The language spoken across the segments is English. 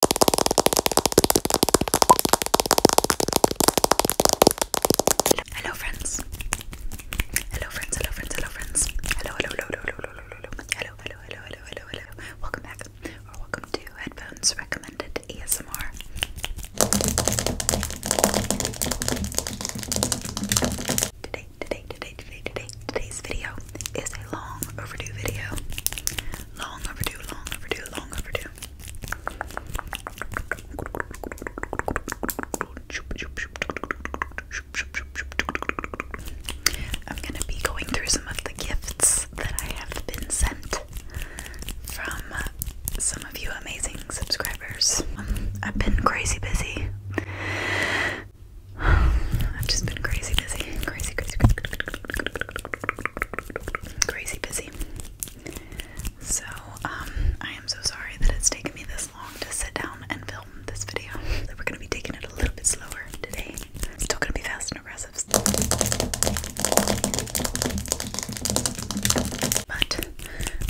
Hello friends. Hello friends. Hello friends. Hello friends. Hello hello hello hello hello hello hello hello hello hello Welcome back or welcome to Headphones Recommended ASMR. Today today today today today today's video is a long overdue video. Long overdue, long overdue, long overdue. I'm gonna be going through some of the gifts that I have been sent from some of you amazing subscribers. I've been crazy busy. I've just been crazy busy, crazy, crazy, crazy, crazy busy. So, um, I am so sorry that it's taken me this long to sit down and film this video. So we're gonna be taking it a little bit slower today. Still gonna be fast and aggressive. But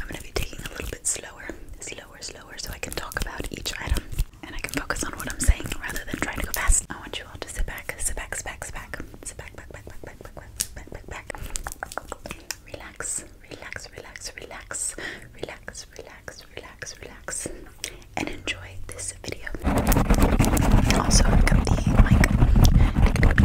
I'm gonna be taking a little bit slower, slower, slower, so I can talk about each item and I can focus on what I'm saying rather than trying to go fast. I want you all to sit back, sit back, sit back, sit back, sit back, back, back, back, back, back, back, back, back, back. Relax, relax, relax, relax, relax, relax, relax, relax, and enjoy this video. Also, I've got the mic. Got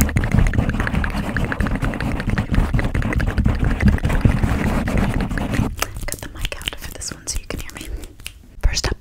the mic out for this one so you can hear me. First up,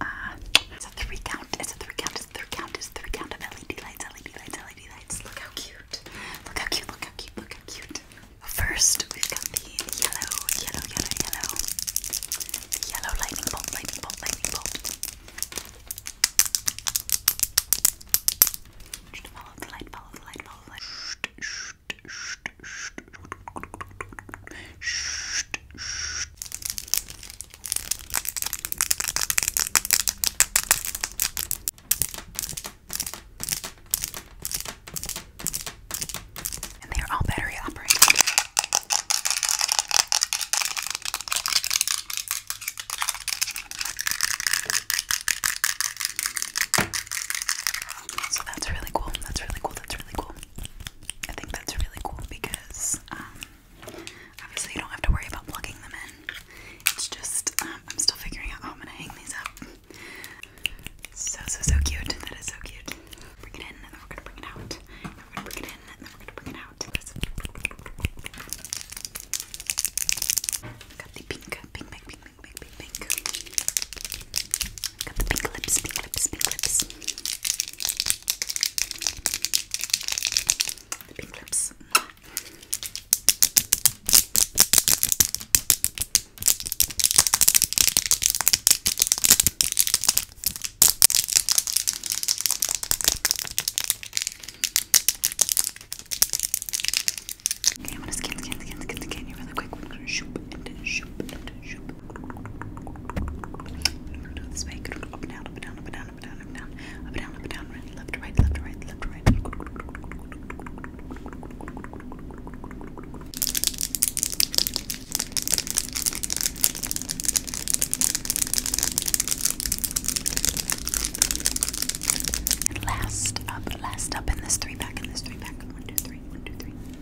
uh, it's a three count, it's a three count, it's a three count, it's a three count of LED lights, LED lights, LED lights. Look how cute. Look how cute, look how cute, look how cute. First, we've got the yellow, yellow, yellow, yellow. Yellow lightning bolt, lightning bolt, lightning bolt. Follow the light, follow the light, follow the light. Shh, shh, shh. And they are all battery operated. So that's really cool. That's really cool. That's really cool. I think that's really cool because um, obviously you don't have to worry about plugging them in. It's just um, I'm still figuring out how I'm gonna hang these up. So so so cute. That is so cute. Bring it in and then we're gonna bring it out. we're gonna bring it in and then we're gonna bring it out. Got the pink lips, pink lips, pink lips. pink lips. Okay, I'm gonna scan, scan, scan, scan, scan you really quick. We're gonna shoop and shoop and shoop. Do it this way. Up and down, up and down, up and down, up and down, up and down, up and down, up and down, right, left to right, left to right, left to right. And last up, last up in this three pack, in this three pack. One, two, three, one, two, three.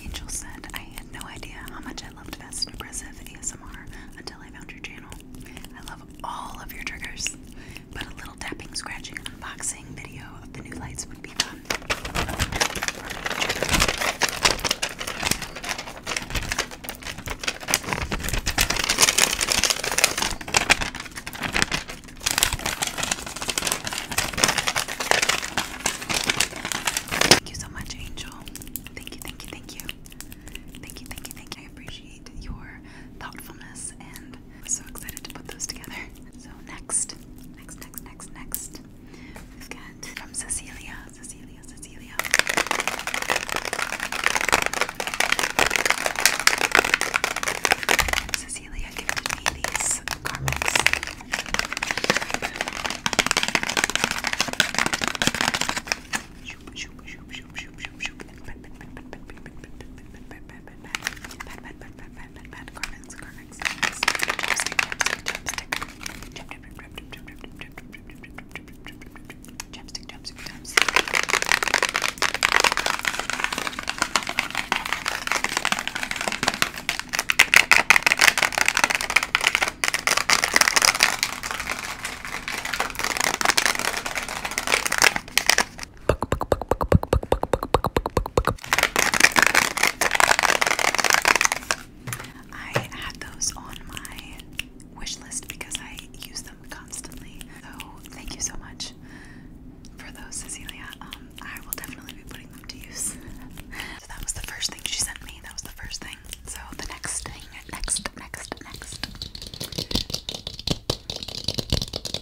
Angel said, I had no idea how much I loved Fast and ASMR until I found your channel. I love all of your triggers, but a little tapping, scratching, unboxing video of the new lights would be fun. Thank you so much, Angel. Thank you, thank you, thank you. Thank you, thank you, thank you. I appreciate your thoughtfulness and I'm so excited to put those together. So next, next, next, next, next We've got from Cecilia, Cecilia, Cecilia. Cecilia gifted me these garments. Mad, Mad, Mad, Carmex, Carmex, Carmex, Chapstick, Chapstick, Chapstick, Chapstick, Chapstick, Chapstick, I had those on my wish list because I use them constantly. So thank you so much for those, Cecilia. Um, I will definitely be putting them to use. so that was the first thing she sent me. That was the first thing. So the next thing, next, next, next.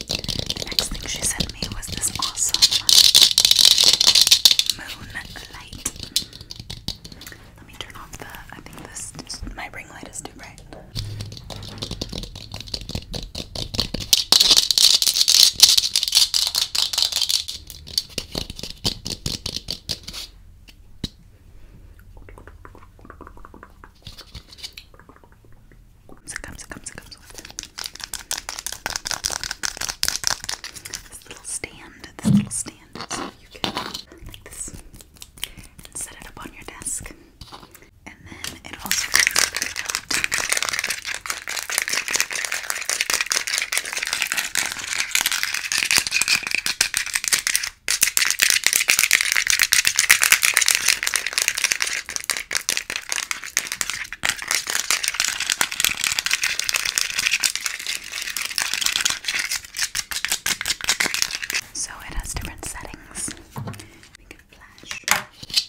The next thing she sent me was this awesome moonlight. Let me turn off the. I think this my ring light is too bright. it comes, it comes, it comes this little stand, this little stand, you can like this and set it up on your desk. And then it also comes with so it has different settings. We can flash.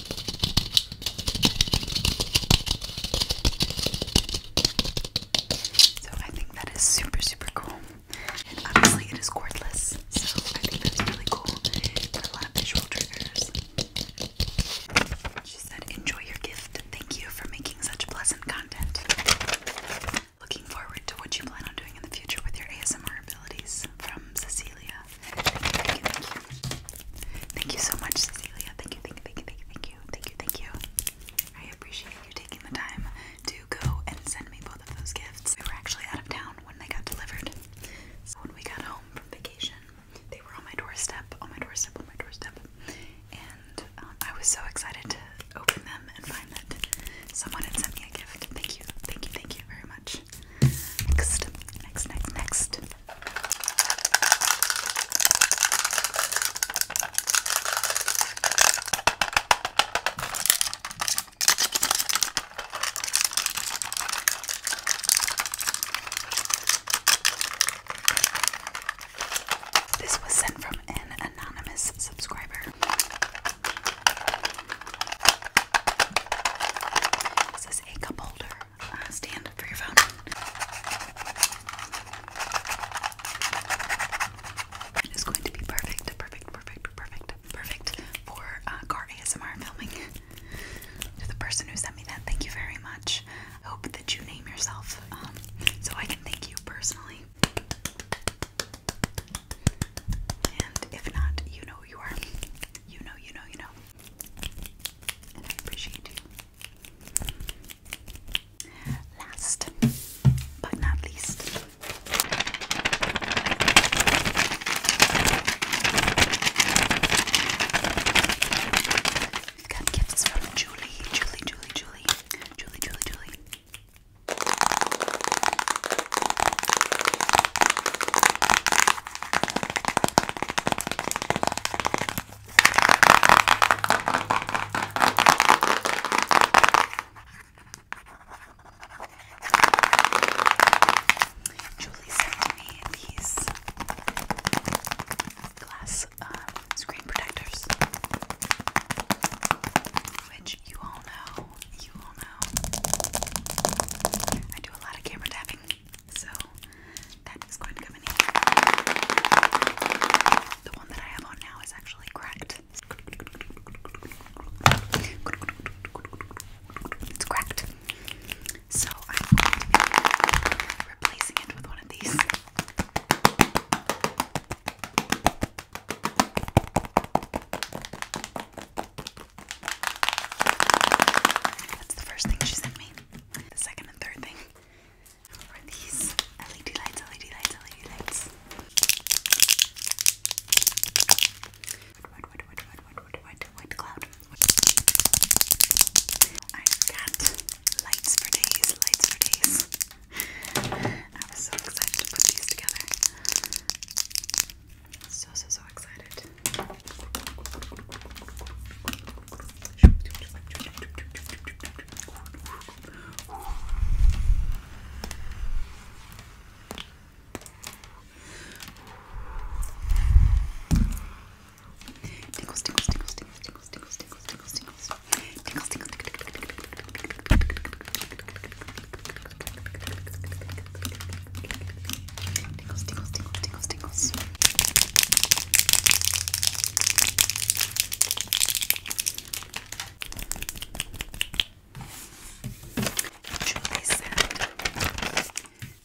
So I think that is super, super cool. And obviously it is cordless, so I think that is really cool a lot of visual triggers. She said, enjoy your gift. Thank you for making such pleasant content. Looking forward to what you plan on doing in the future with your ASMR abilities from Cecilia. Thank you, thank you. Thank you so much, Cecilia. Thank you, thank you, thank you, thank you, thank you, thank you, thank you. I appreciate you taking the time to go and send me both of those gifts. We were actually out of town when they got delivered. So when we got home from vacation, they were on my doorstep, on my doorstep, on my doorstep. And um, I was so excited to open them and find that someone had sent me a gift. Thank you, thank you, thank you very much. Next, next, next, next. This was sent from an anonymous subscriber. This is a cup holder uh, stand for your phone. It is going to be perfect, perfect, perfect, perfect, perfect for car uh, ASMR filming. to the person who sent me that, thank you very much. hope that you name yourself um, so I can thank you personally. And if not, you know who you are. You know, you know, you know. I appreciate you. Last but not least, we've got gifts from Julie, Julie, Julie, Julie, Julie, Julie. Julie sent me these glass um, screen protectors, which you all know. You all know. I do a lot of camera tapping. So that is going to come in here. The one that I have on now is actually cracked. It's cracked. So I'm going to be replacing it with one of these. That's the first thing she sent me. The second and third thing are these LED lights, LED lights, LED lights. What, what, what, what, what, what, what, what cloud? I got lights for days, lights for days. I was so excited to put these together. So, so, so excited.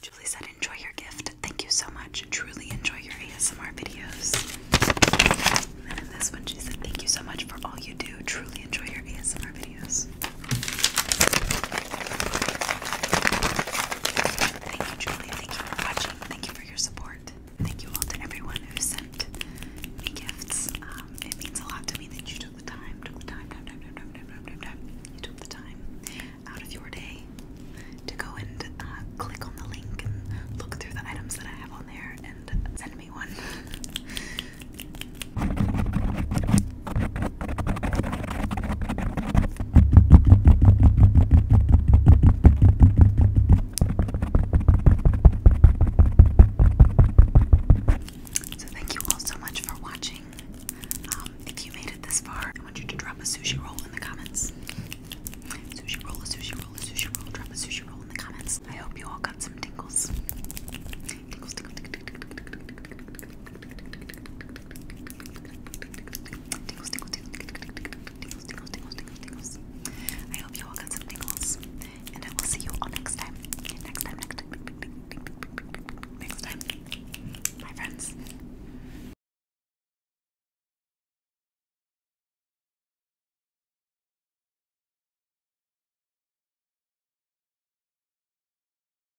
Julie said, enjoy your gift. Thank you so much. Truly enjoy your ASMR videos. And in this one, she said, thank you so much for all you do. Truly enjoy your ASMR videos. Thank you, Julie. Thank you for watching. Thank you for your support. Thank you all to everyone who sent me gifts. Um, it means a lot to me that you took the time, took the time, time, time, time, time, time, time, took the time out of your day to go and uh, click on the link and look through the items that I have on there and send me one. So, thank you all so much for watching. if you made it this far, I want you to drop a sushi roll in the comments. Sushi roll, a sushi roll, a sushi roll, drop a sushi roll in the comments. I hope you all got some tingles, Tingles, I hope you all got some tingles, and I will see you all next time. Next time, next time, next friends.